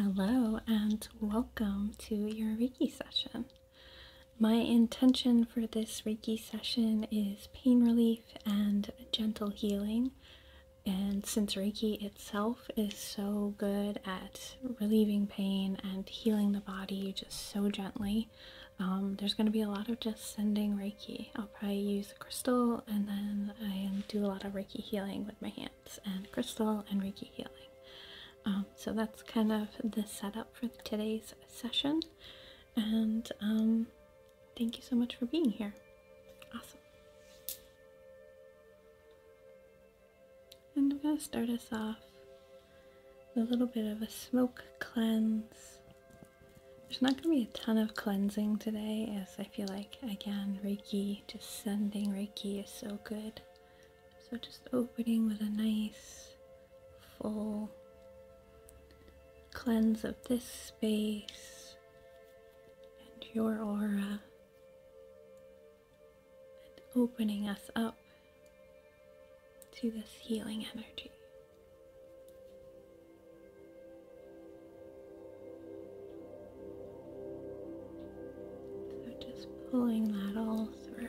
Hello and welcome to your Reiki session. My intention for this Reiki session is pain relief and gentle healing. And since Reiki itself is so good at relieving pain and healing the body just so gently, um, there's going to be a lot of just sending Reiki. I'll probably use a crystal and then I do a lot of Reiki healing with my hands and crystal and Reiki healing. Um, so that's kind of the setup for today's session and um, thank you so much for being here. Awesome. And I'm going to start us off with a little bit of a smoke cleanse. There's not going to be a ton of cleansing today, as I feel like, again, Reiki, just sending Reiki is so good. So just opening with a nice full cleanse of this space and your aura, and opening us up to this healing energy. So just pulling that all through.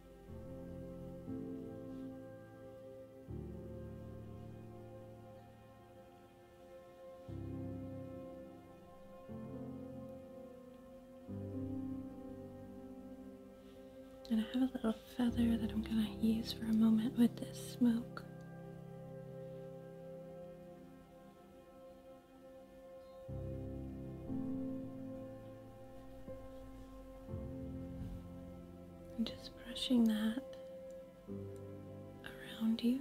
And I have a little feather that I'm going to use for a moment with this smoke. And just brushing that around you.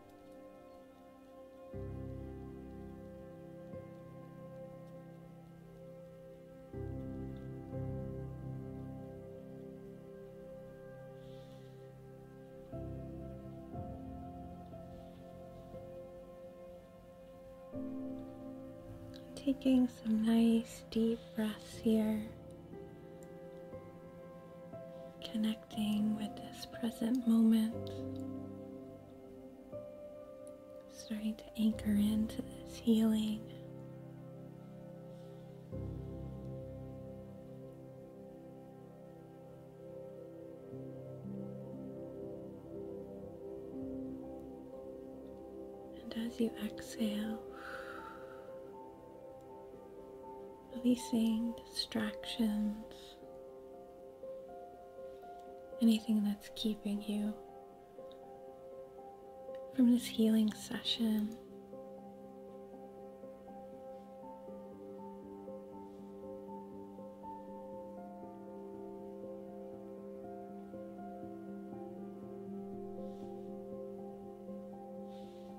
Taking some nice deep breaths here, connecting with this present moment, starting to anchor into this healing. And as you exhale, releasing distractions, anything that's keeping you from this healing session.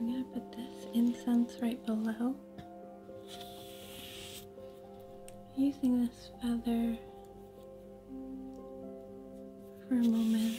I'm going to put this incense right below. Using this feather for a moment.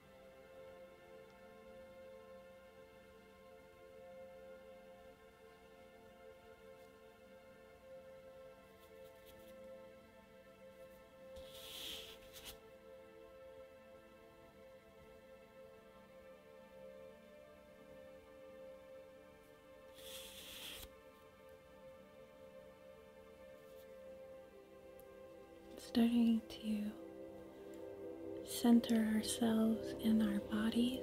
Starting to center ourselves in our bodies.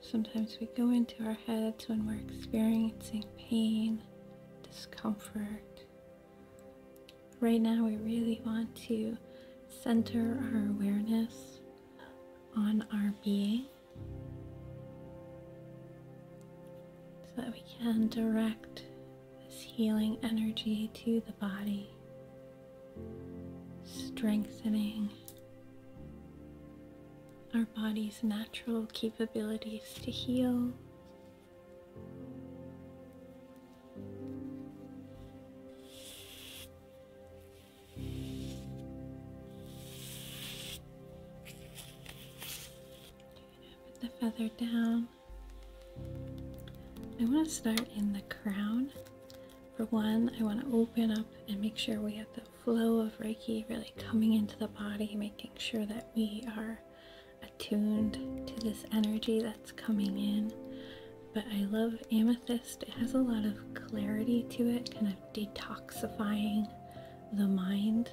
Sometimes we go into our heads when we're experiencing pain, discomfort. Right now, we really want to center our awareness on our being so that we can direct this healing energy to the body, strengthening our body's natural capabilities to heal put the feather down. I want to start in the crown. For one, I want to open up and make sure we have the flow of Reiki really coming into the body, making sure that we are attuned to this energy that's coming in. But I love amethyst. It has a lot of clarity to it, kind of detoxifying the mind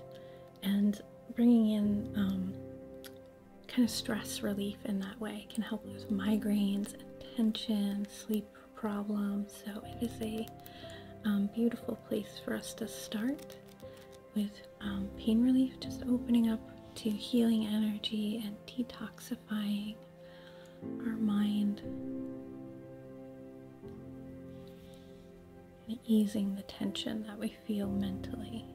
and bringing in um, kind of stress relief in that way can help with migraines and tension, sleep problems. So it is a um, beautiful place for us to start with um, pain relief, just opening up to healing energy and detoxifying our mind and easing the tension that we feel mentally.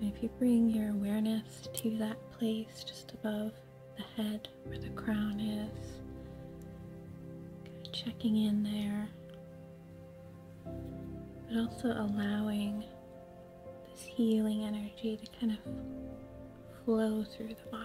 if you bring your awareness to that place just above the head where the crown is, checking in there, but also allowing this healing energy to kind of flow through the body.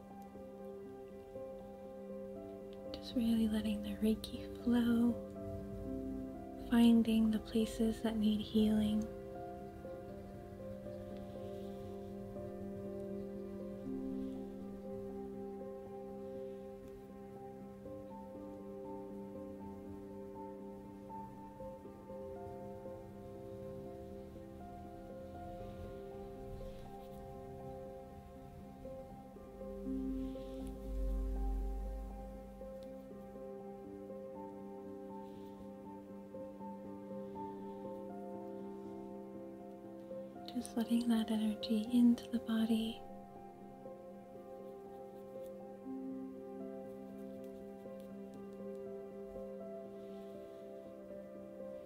Just really letting the Reiki flow, finding the places that need healing. Just letting that energy into the body.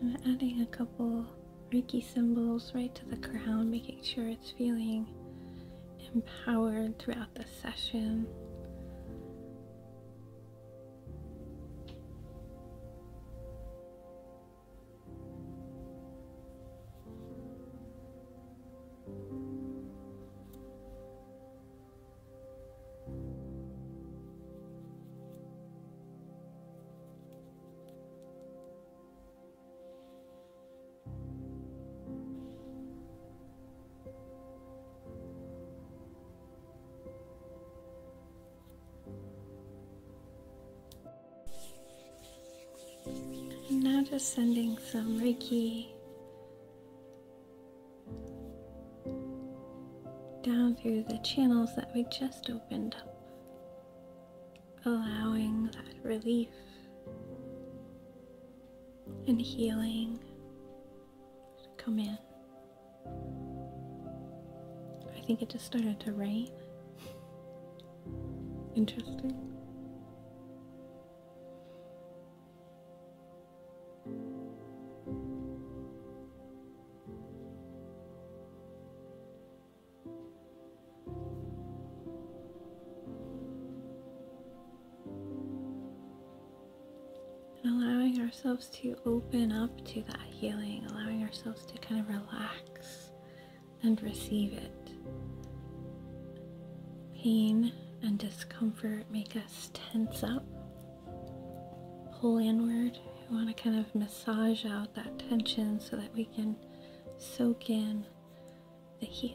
I'm adding a couple Reiki symbols right to the crown, making sure it's feeling empowered throughout the session. I'm now just sending some Reiki down through the channels that we just opened up, allowing that relief and healing to come in. I think it just started to rain. Interesting allowing ourselves to open up to that healing, allowing ourselves to kind of relax and receive it. Pain and discomfort make us tense up. Pull inward. We want to kind of massage out that tension so that we can soak in the healing.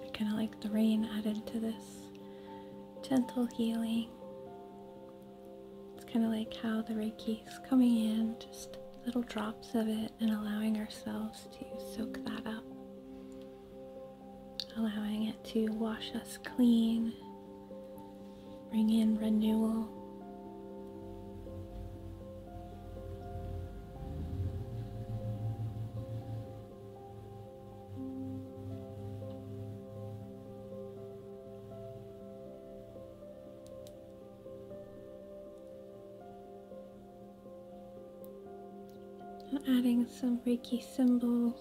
I kind of like the rain added to this gentle healing. It's kind of like how the Reiki is coming in, just little drops of it, and allowing ourselves to soak that up, allowing it to wash us clean, bring in renewal. I'm adding some Reiki symbols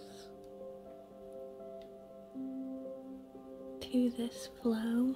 to this flow.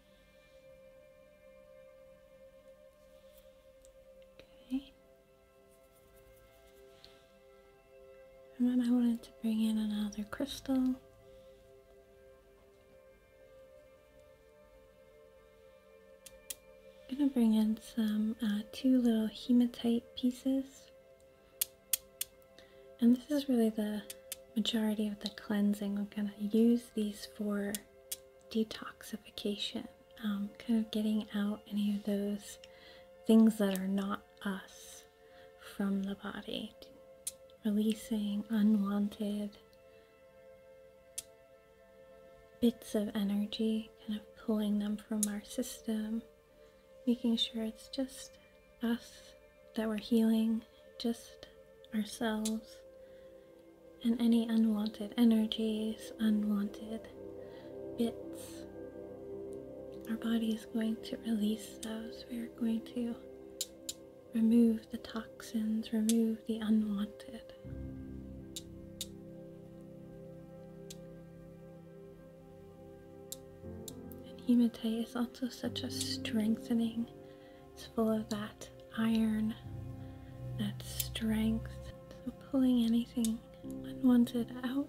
Okay. And then I wanted to bring in another crystal. I'm gonna bring in some uh, two little hematite pieces. And this is really the majority of the cleansing. I'm gonna use these for detoxification, um, kind of getting out any of those things that are not us from the body, releasing unwanted bits of energy, kind of pulling them from our system, making sure it's just us that we're healing, just ourselves, and any unwanted energies, unwanted bits. Our body is going to release those. We are going to remove the toxins, remove the unwanted. And hematite is also such a strengthening it's full of that iron, that strength. So pulling anything unwanted out.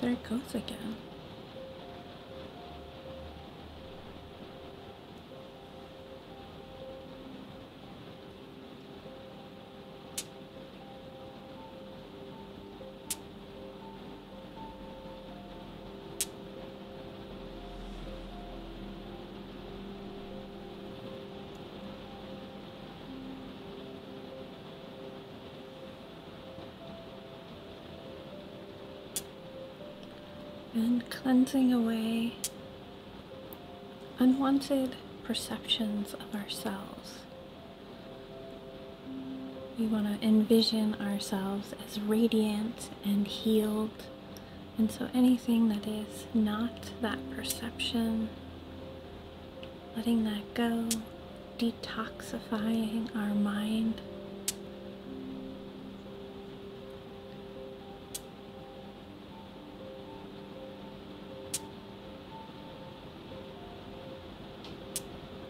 there it goes again and cleansing away unwanted perceptions of ourselves we want to envision ourselves as radiant and healed. And so anything that is not that perception, letting that go, detoxifying our mind.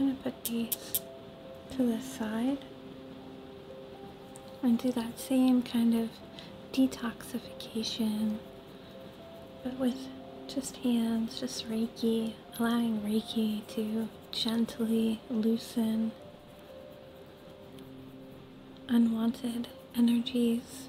I'm going to put these to the side and do that same kind of detoxification but with just hands, just Reiki, allowing Reiki to gently loosen unwanted energies.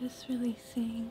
Just releasing.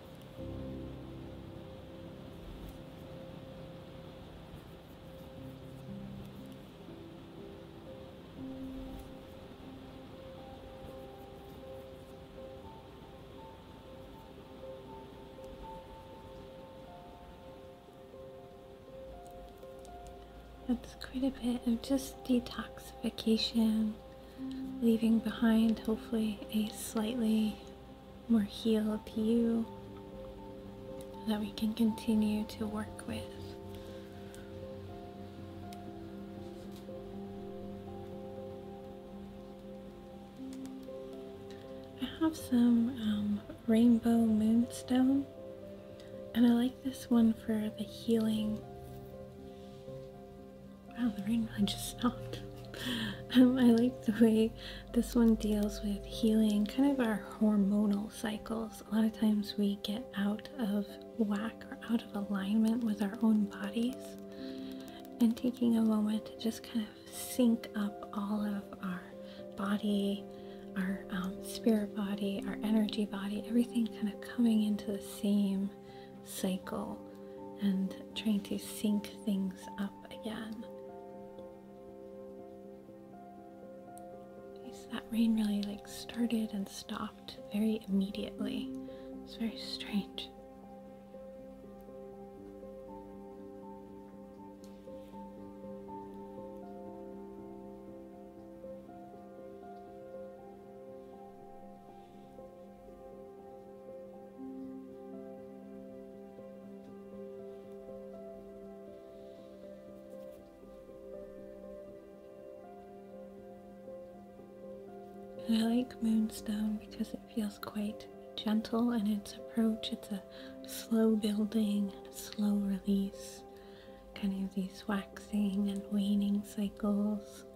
That's quite a bit of just detoxification leaving behind hopefully a slightly more healed you that we can continue to work with. I have some um, rainbow moonstone, and I like this one for the healing Wow, the rain just stopped. Um, I like the way this one deals with healing kind of our hormonal cycles. A lot of times we get out of whack or out of alignment with our own bodies. And taking a moment to just kind of sync up all of our body, our um, spirit body, our energy body, everything kind of coming into the same cycle and trying to sync things up again. So that rain really like started and stopped very immediately. It's very strange. And I like Moonstone because it feels quite gentle in its approach. It's a slow building, slow release, kind of these waxing and waning cycles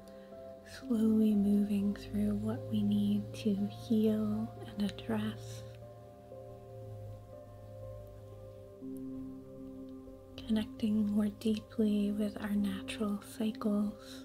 slowly moving through what we need to heal and address. Connecting more deeply with our natural cycles.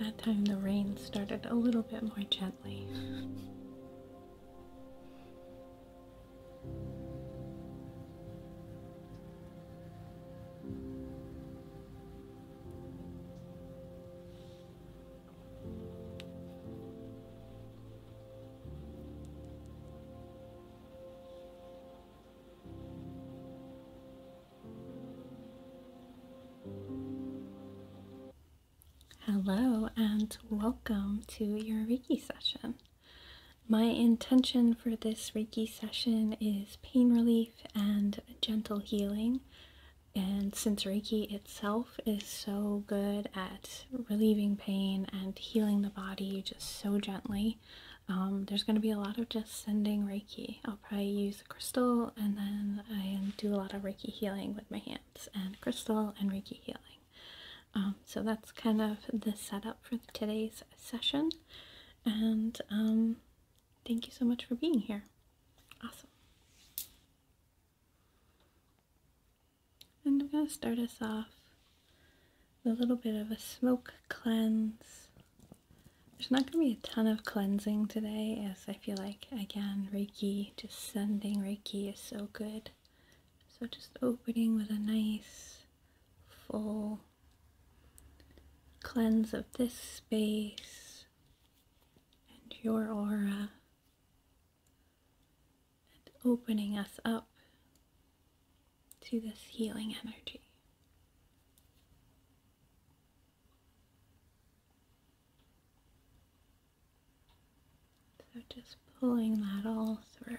That time the rain started a little bit more gently. Hello and welcome to your Reiki session. My intention for this Reiki session is pain relief and gentle healing. And since Reiki itself is so good at relieving pain and healing the body just so gently. Um, there's going to be a lot of just sending Reiki. I'll probably use a crystal and then I do a lot of Reiki healing with my hands and crystal and Reiki healing. Um, so that's kind of the setup for today's session. And um, thank you so much for being here. Awesome. And I'm going to start us off with a little bit of a smoke cleanse. There's not going to be a ton of cleansing today as I feel like, again, Reiki, just sending Reiki is so good. So just opening with a nice, full cleanse of this space and your aura and opening us up to this healing energy. So just pulling that all through.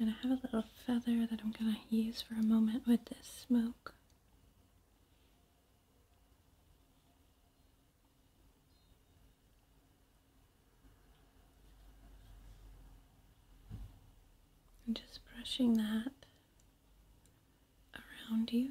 And I have a little feather that I'm going to use for a moment with this smoke. And just brushing that around you.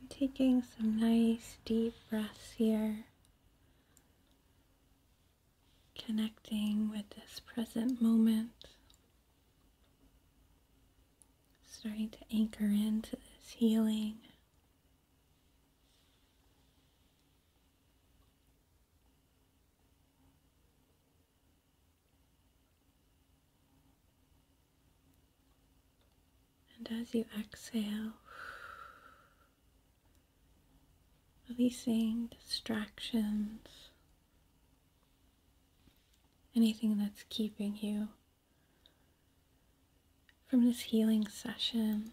I'm taking some nice deep breaths here, connecting with this present moment. Starting to anchor into this healing and as you exhale, releasing distractions, anything that's keeping you from this healing session.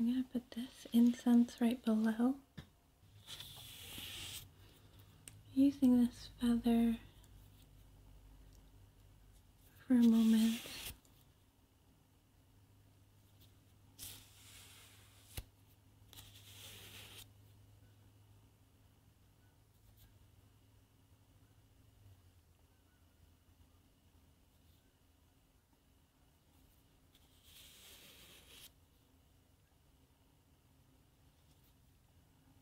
I'm going to put this incense right below using this feather for a moment.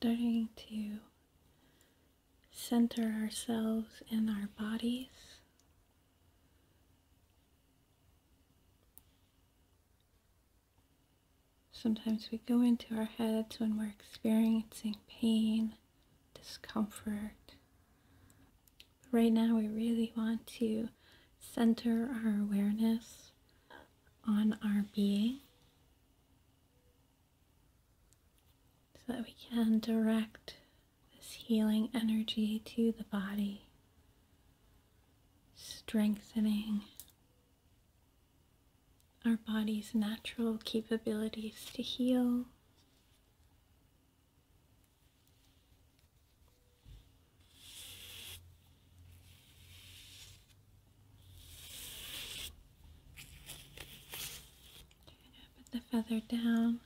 starting to center ourselves in our bodies. Sometimes we go into our heads when we're experiencing pain, discomfort. right now, we really want to center our awareness on our being so that we can direct this healing energy to the body, strengthening our body's natural capabilities to heal. Put the feather down.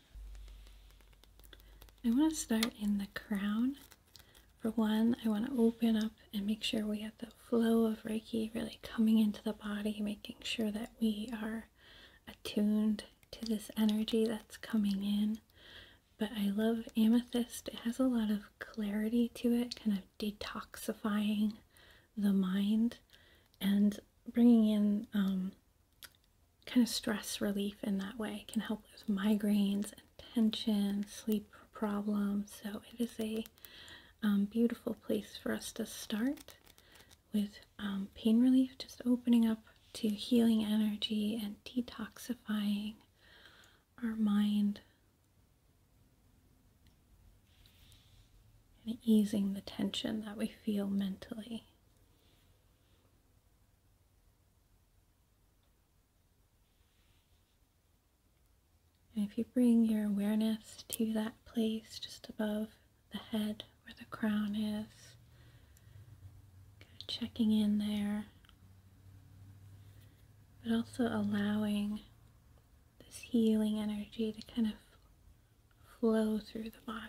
I want to start in the crown. For one, I want to open up and make sure we have the flow of Reiki really coming into the body, making sure that we are attuned to this energy that's coming in. But I love amethyst, it has a lot of clarity to it, kind of detoxifying the mind and bringing in um, kind of stress relief in that way. can help with migraines and tension, sleep problems. So it is a um, beautiful place for us to start with um, pain relief, just opening up to healing energy and detoxifying our mind and easing the tension that we feel mentally. And if you bring your awareness to that place just above the head where the crown is, checking in there, but also allowing this healing energy to kind of flow through the body.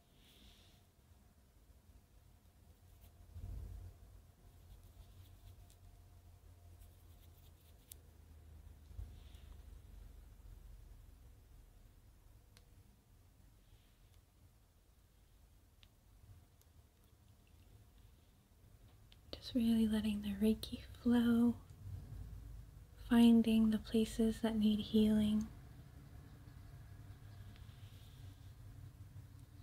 Just really letting the Reiki flow, finding the places that need healing.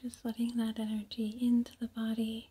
Just letting that energy into the body.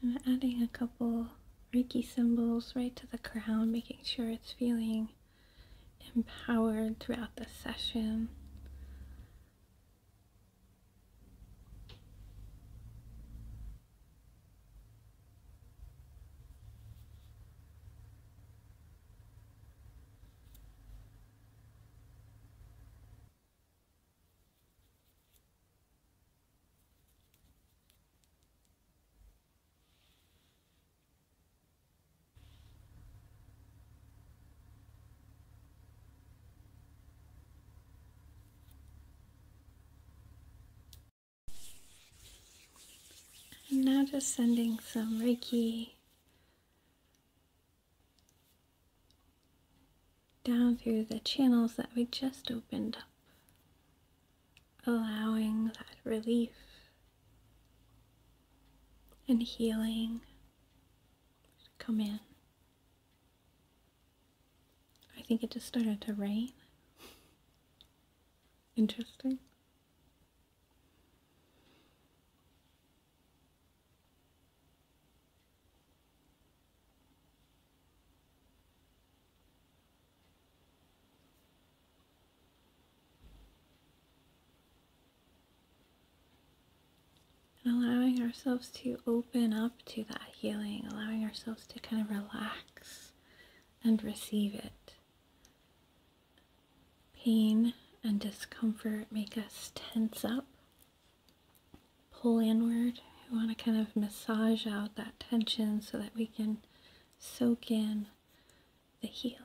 I'm adding a couple Reiki symbols right to the crown, making sure it's feeling empowered throughout the session. I'm now just sending some Reiki down through the channels that we just opened up allowing that relief and healing to come in. I think it just started to rain. Interesting allowing ourselves to open up to that healing, allowing ourselves to kind of relax and receive it. Pain and discomfort make us tense up, pull inward. We want to kind of massage out that tension so that we can soak in the healing.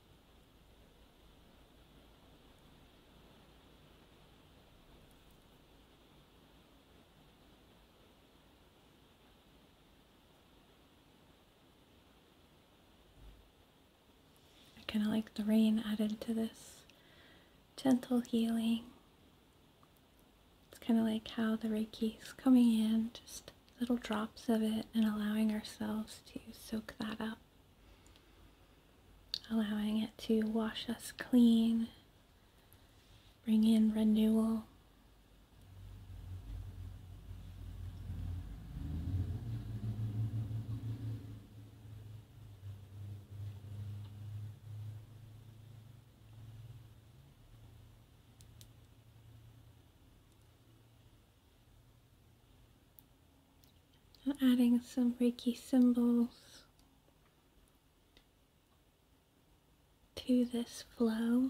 I kind of like the rain added to this gentle healing. It's kind of like how the Reiki is coming in, just little drops of it, and allowing ourselves to soak that up allowing it to wash us clean, bring in renewal. So adding some Reiki symbols to this flow.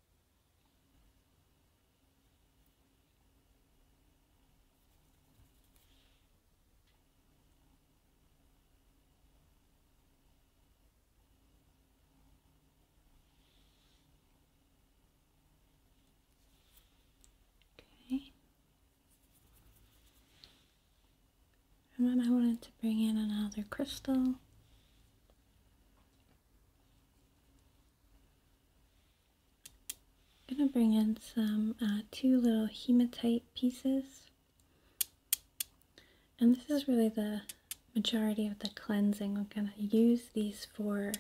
Okay. And I wanted to bring in another crystal. I'm going to bring in some uh, two little hematite pieces. And this is really the majority of the cleansing. We're going to use these for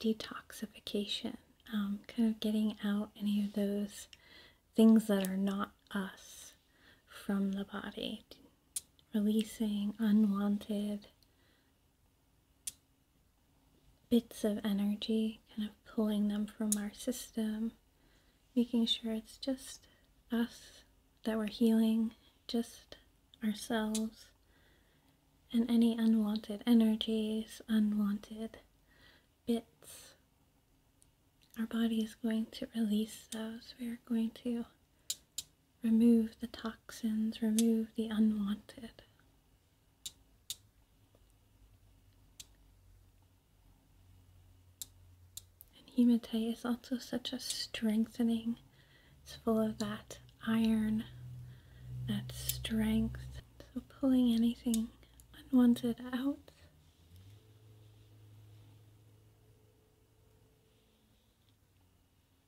detoxification, um, kind of getting out any of those things that are not us from the body releasing unwanted bits of energy, kind of pulling them from our system, making sure it's just us that we're healing, just ourselves, and any unwanted energies, unwanted bits. Our body is going to release those. We are going to remove the toxins, remove the unwanted. And hematite is also such a strengthening, it's full of that iron, that strength. So pulling anything unwanted out.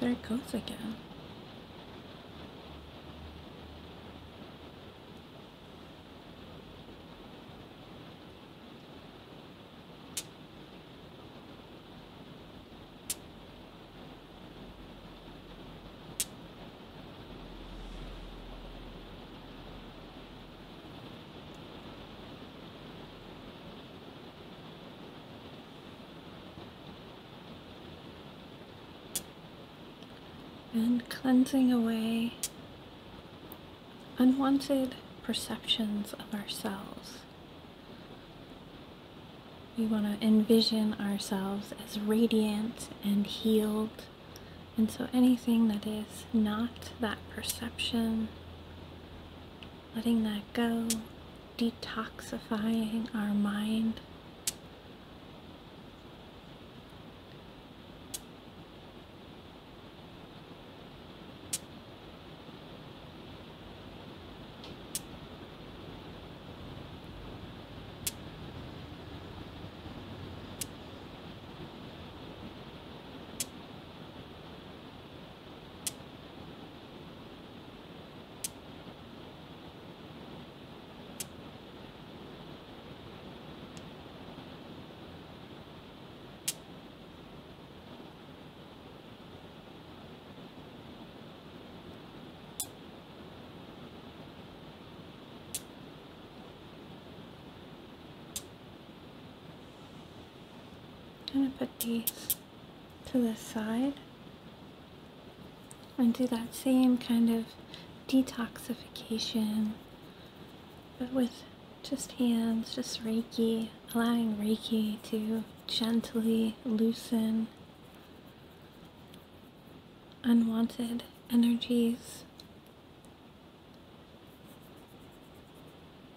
there it goes again and cleansing away unwanted perceptions of ourselves. We want to envision ourselves as radiant and healed, and so anything that is not that perception letting that go, detoxifying our mind. I'm gonna put these to the side and do that same kind of detoxification but with just hands, just Reiki, allowing Reiki to gently loosen unwanted energies.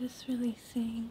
Just releasing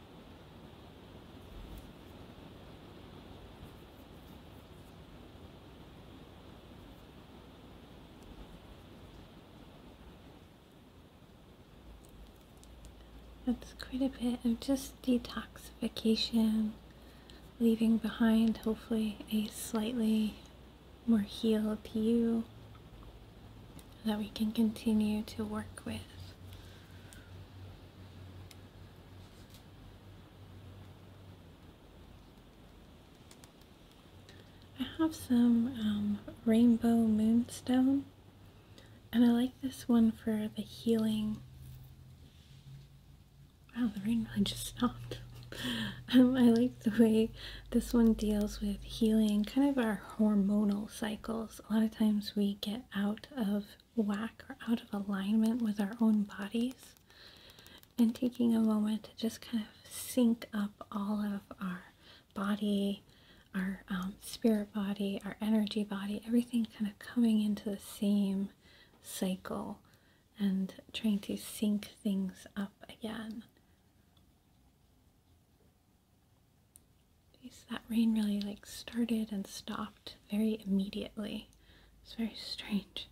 That's quite a bit of just detoxification, leaving behind hopefully a slightly more healed you that we can continue to work with. I have some um, rainbow moonstone, and I like this one for the healing. Wow, the rain really just stopped. Um, I like the way this one deals with healing kind of our hormonal cycles. A lot of times we get out of whack or out of alignment with our own bodies, and taking a moment to just kind of sync up all of our body, our um, spirit body, our energy body, everything kind of coming into the same cycle and trying to sync things up again. that rain really like started and stopped very immediately. It's very strange.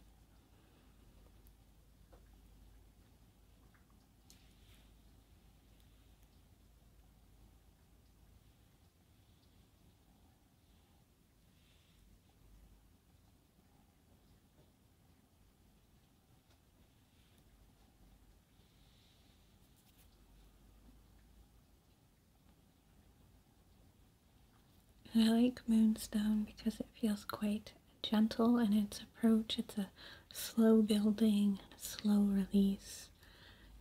I like Moonstone because it feels quite gentle in its approach. It's a slow building, slow release,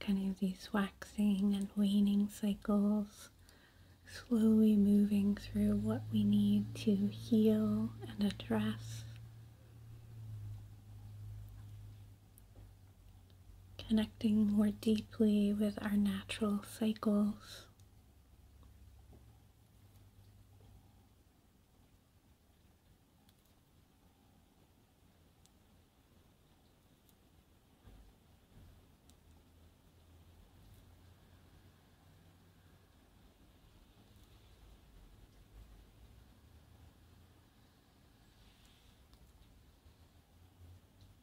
kind of these waxing and waning cycles, slowly moving through what we need to heal and address connecting more deeply with our natural cycles.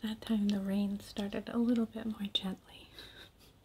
That time the rain started a little bit more gently.